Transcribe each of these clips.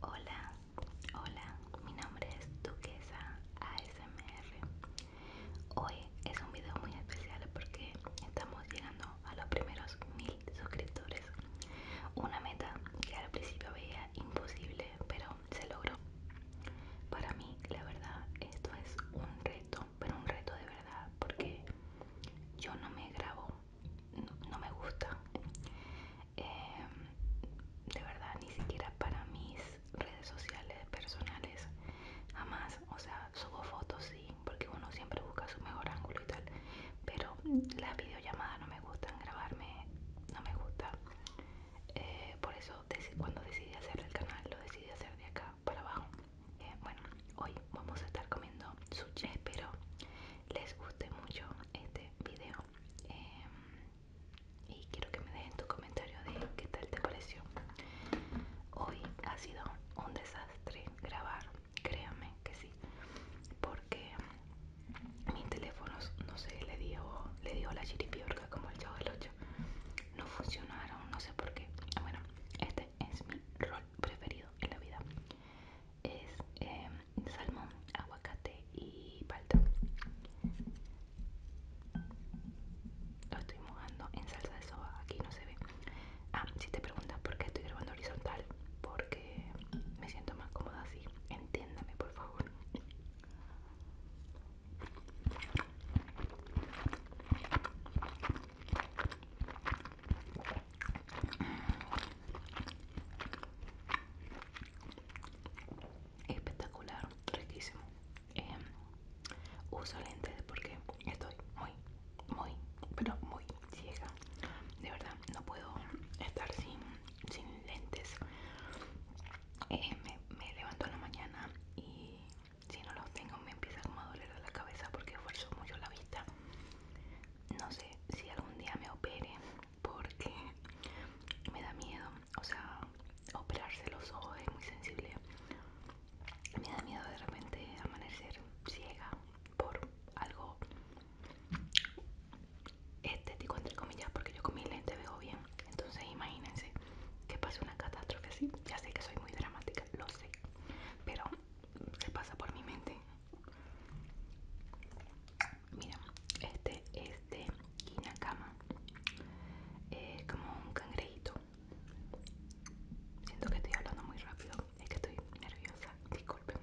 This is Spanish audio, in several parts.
Hola, hola, mi nombre es Duquesa ASMR. Hoy es un video muy especial porque estamos llegando a los primeros mil suscriptores. Una meta que al principio veía imposible, pero se logró. Para mí, la verdad, esto es un reto, pero un reto de verdad, porque yo no me grabo no, me gusta. Em, de verdad, ni siquiera para mis redes sociales personales, jamás. O sea, subo fotos, sí, porque uno siempre busca su mejor ángulo y tal. Pero las videollamadas no me gustan, grabarme no me gusta. Eh, por eso, cuando decidí hacer el canal, lo decidí hacer de acá para abajo. Eh, bueno, hoy vamos a estar comiendo sushi, pero les guste mucho este video em, y quiero que me dejen tu comentario de qué tal te pareció hoy ha sido un desastre grabar créanme que sí porque mi teléfono no sé le dio le dio la chiripiorca como el chavo del 8 no funcionaron no sé por qué bueno este es mi rol preferido en la vida es em, salmón, aguacate y palta. Lo estoy mojando en salsa de soja, aquí no se ve. Ah, si te preguntas por qué estoy grabando horizontal, porque me siento más cómoda así. Entiéndame, por favor. Espectacular, riquísimo. Em, uso lentes porque estoy muy, muy, pero muy ciega. De verdad, no puedo estar sin, sin lentes. Eh, me, levanto en la mañana y si no los tengo me empieza como a doler la cabeza porque esfuerzo mucho la vista no sé si algún día me opere porque me da miedo, o sea, operarse los ojos es muy sensible. Me da miedo de repente amanecer ciega por algo estético, entre comillas, porque yo con mi lente veo bien. Entonces imagínense que pase una catástrofe así. Ya sé que soy muy dramática, lo sé. Pero se pasa por mi mente. Mira, este es de Inacama Es como un cangrejito. Siento que estoy hablando muy rápido. Es que estoy nerviosa. Disculpen.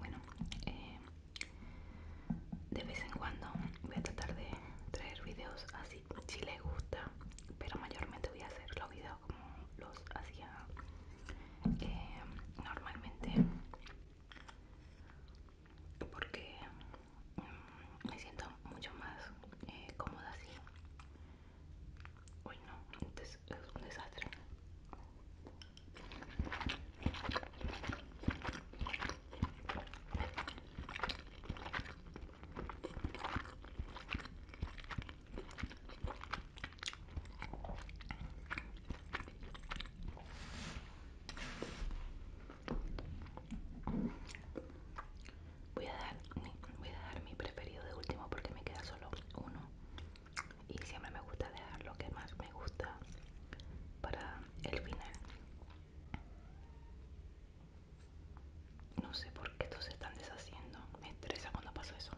Bueno, eh, de vez en cuando voy a tratar de traer videos así si les gusta pero mayormente voy a hacer los videos como los hacía eh, normalmente porque mm, me siento mucho más eh, cómoda así uy no es un desastre Voy a dejar voy a mi preferido de último porque me queda solo uno y siempre me gusta dejar lo que más me gusta para el final. No sé por qué estos se están deshaciendo. Me estresa cuando pasa eso.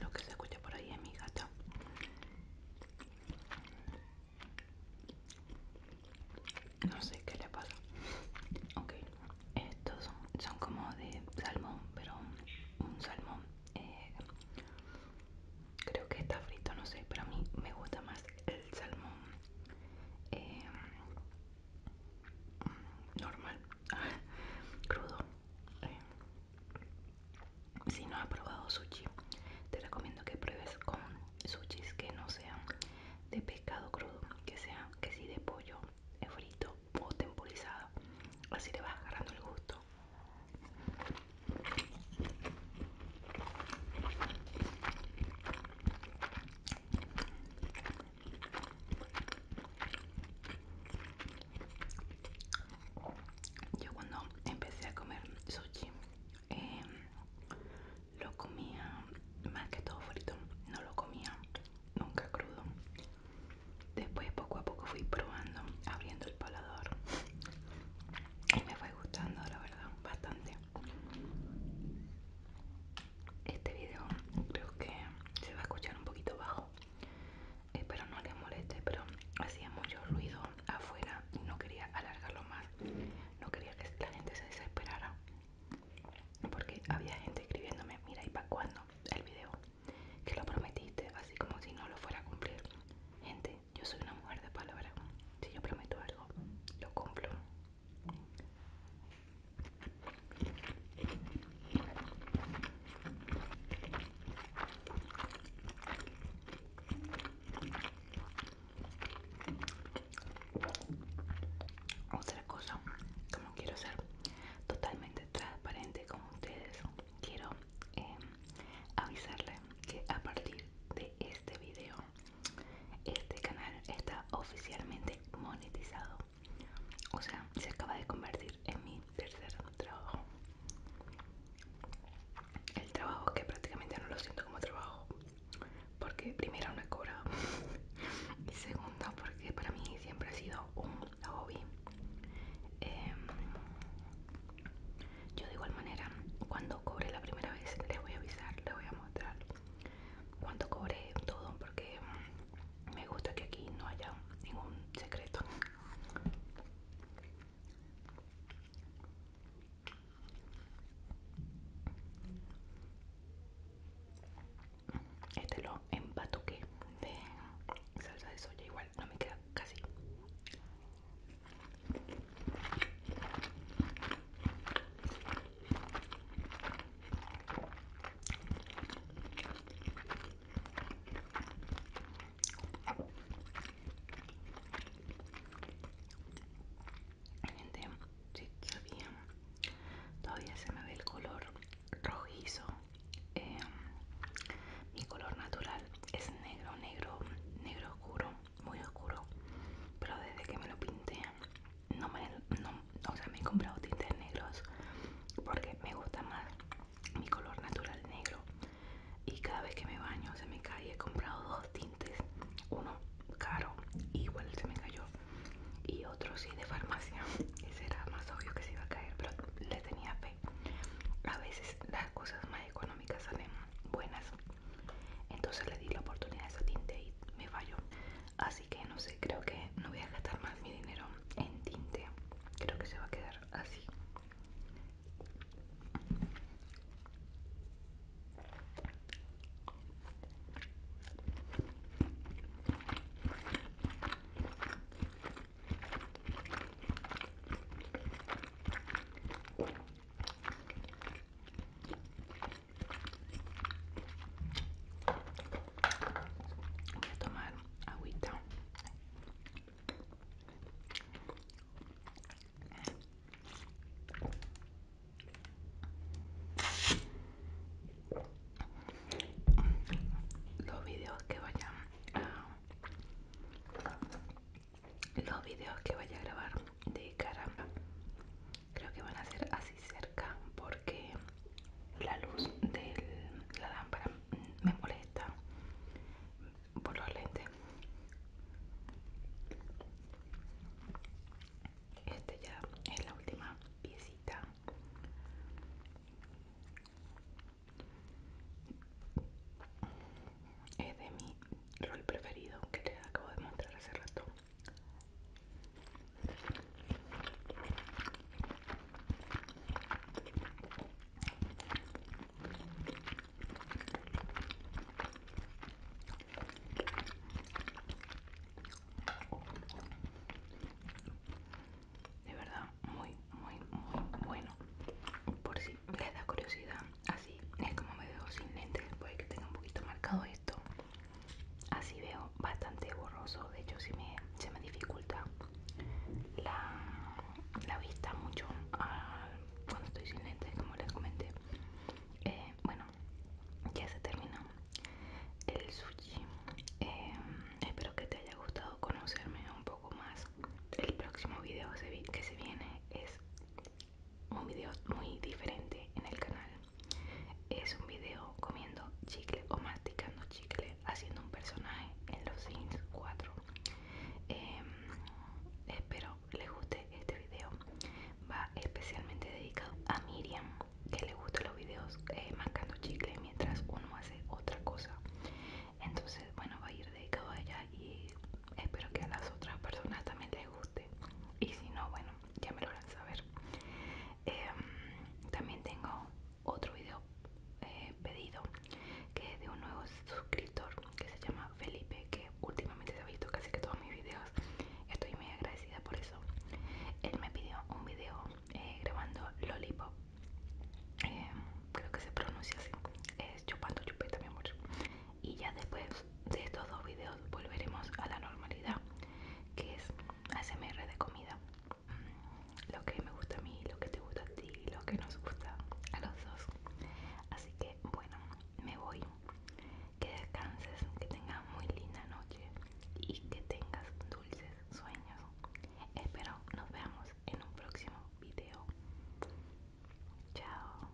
Lo que se escucha por ahí es mi gata. No sé qué le pasa. Ok, estos son, como de salmón, pero un, salmón. Eh, creo que está frito, no sé, pero a mí me gusta más el salmón eh, normal, crudo. Eh. Si no has probado sushi, te recomiendo que pruebes con sushis que no sean de pescado crudo, que sean que sí de pollo eh, frito o temporizado. Así te vas agarrando el gusto. Yo cuando empecé a comer sushi em, lo comía más que todo frito, no lo comía nunca crudo. Después poco a poco fui probando, abriendo el paladar y me fue gustando la verdad bastante. Este video creo que se va a escuchar un poquito bajo espero no les moleste pero hacía mucho ruido afuera y no quería alargarlo más no quería que la gente se desesperara porque había gente escribiéndome mira y para cuándo el video que lo prometiste así como si no lo fuera a cumplir gente yo soy una mujer de palabras. si yo prometo algo lo cumplo otra cosa, como quiero ser totalmente transparente con ustedes, quiero em, avisarles que a partir de este video, este canal está oficialmente monetizado. O sea, se acaba de convertir en mi tercer trabajo. El trabajo que prácticamente no lo siento como trabajo. Porque primero no he cobrado. y segundo porque para mí siempre ha sido un hobby. Em, yo de igual manera, cuando cobre la primera vez, les voy a avisar, les voy a mostrar cuánto cobré todo porque me gusta que aquí no haya ningún secreto este lo empatuqué de salsa de soya igual no me queda casi Gente, si todavía se me ve el color rojizo. Em, mi color natural es negro, negro, negro oscuro, muy oscuro. Pero desde que me lo pinté, no me, o sea me he comprado tintes negros porque me gusta más mi color natural negro y cada vez que me baño se me cae he comprado dos tintes uno caro igual se me cayó y otro sí de farmacia ese era más obvio que se iba a caer pero le tenía fe a veces las cosas más económicas salen buenas entonces le di la oportunidad a ese tinte y me falló así que no sé, creo que no voy a gastar más mi dinero en tinte. Creo que se va a quedar así. Voy a tomar agüita. Los videos que vaya los videos que vaya a grabar de caramba creo que van a ser así cerca porque la luz de la lámpara me molesta por los lentes Esta ya es la última piecita es de mi rol preferido que les acabo de mostrar hace rato de verdad, muy, muy, muy bueno. Por si les da curiosidad, así es como me veo sin lentes, puede que tenga un poquito marcado esto así veo bastante borroso de hecho se me, se me dificulta la, vista mucho cuando estoy sin lentes como les comenté eh, bueno ya se terminó el sushi eh, espero que te haya gustado conocerme un poco más el próximo video que se viene es un video muy diferente en el canal es un video comiendo chicle o masticando chicle haciendo un personaje en los Sims 4. Em, espero les guste este video. Va especialmente dedicado a Miriam, que le gustan los videos eh, masticando chicle mientras uno hace otra cosa. Entonces, bueno, va a ir dedicado a ella y espero que a las otras personas también les guste. Y si no, bueno, ya me lo saber. Em, también tengo otro video eh, pedido que de un nuevo suscriptor que se llama Felipe, que últimamente se ha visto casi que todos mis videos. Estoy muy agradecida por eso. Él me pidió un video eh, grabando Lollipop. Em, creo que se pronuncia así. Es chupando chupeta, mi amor y ya después de estos dos videos volveremos a la normalidad que es ASMR de comida mm, lo que me gusta a mí, lo que te gusta a ti, lo que nos gusta a los dos así que bueno, me voy que descanses, que tengas muy linda noche y que tengas dulces sueños espero nos veamos en un próximo video chao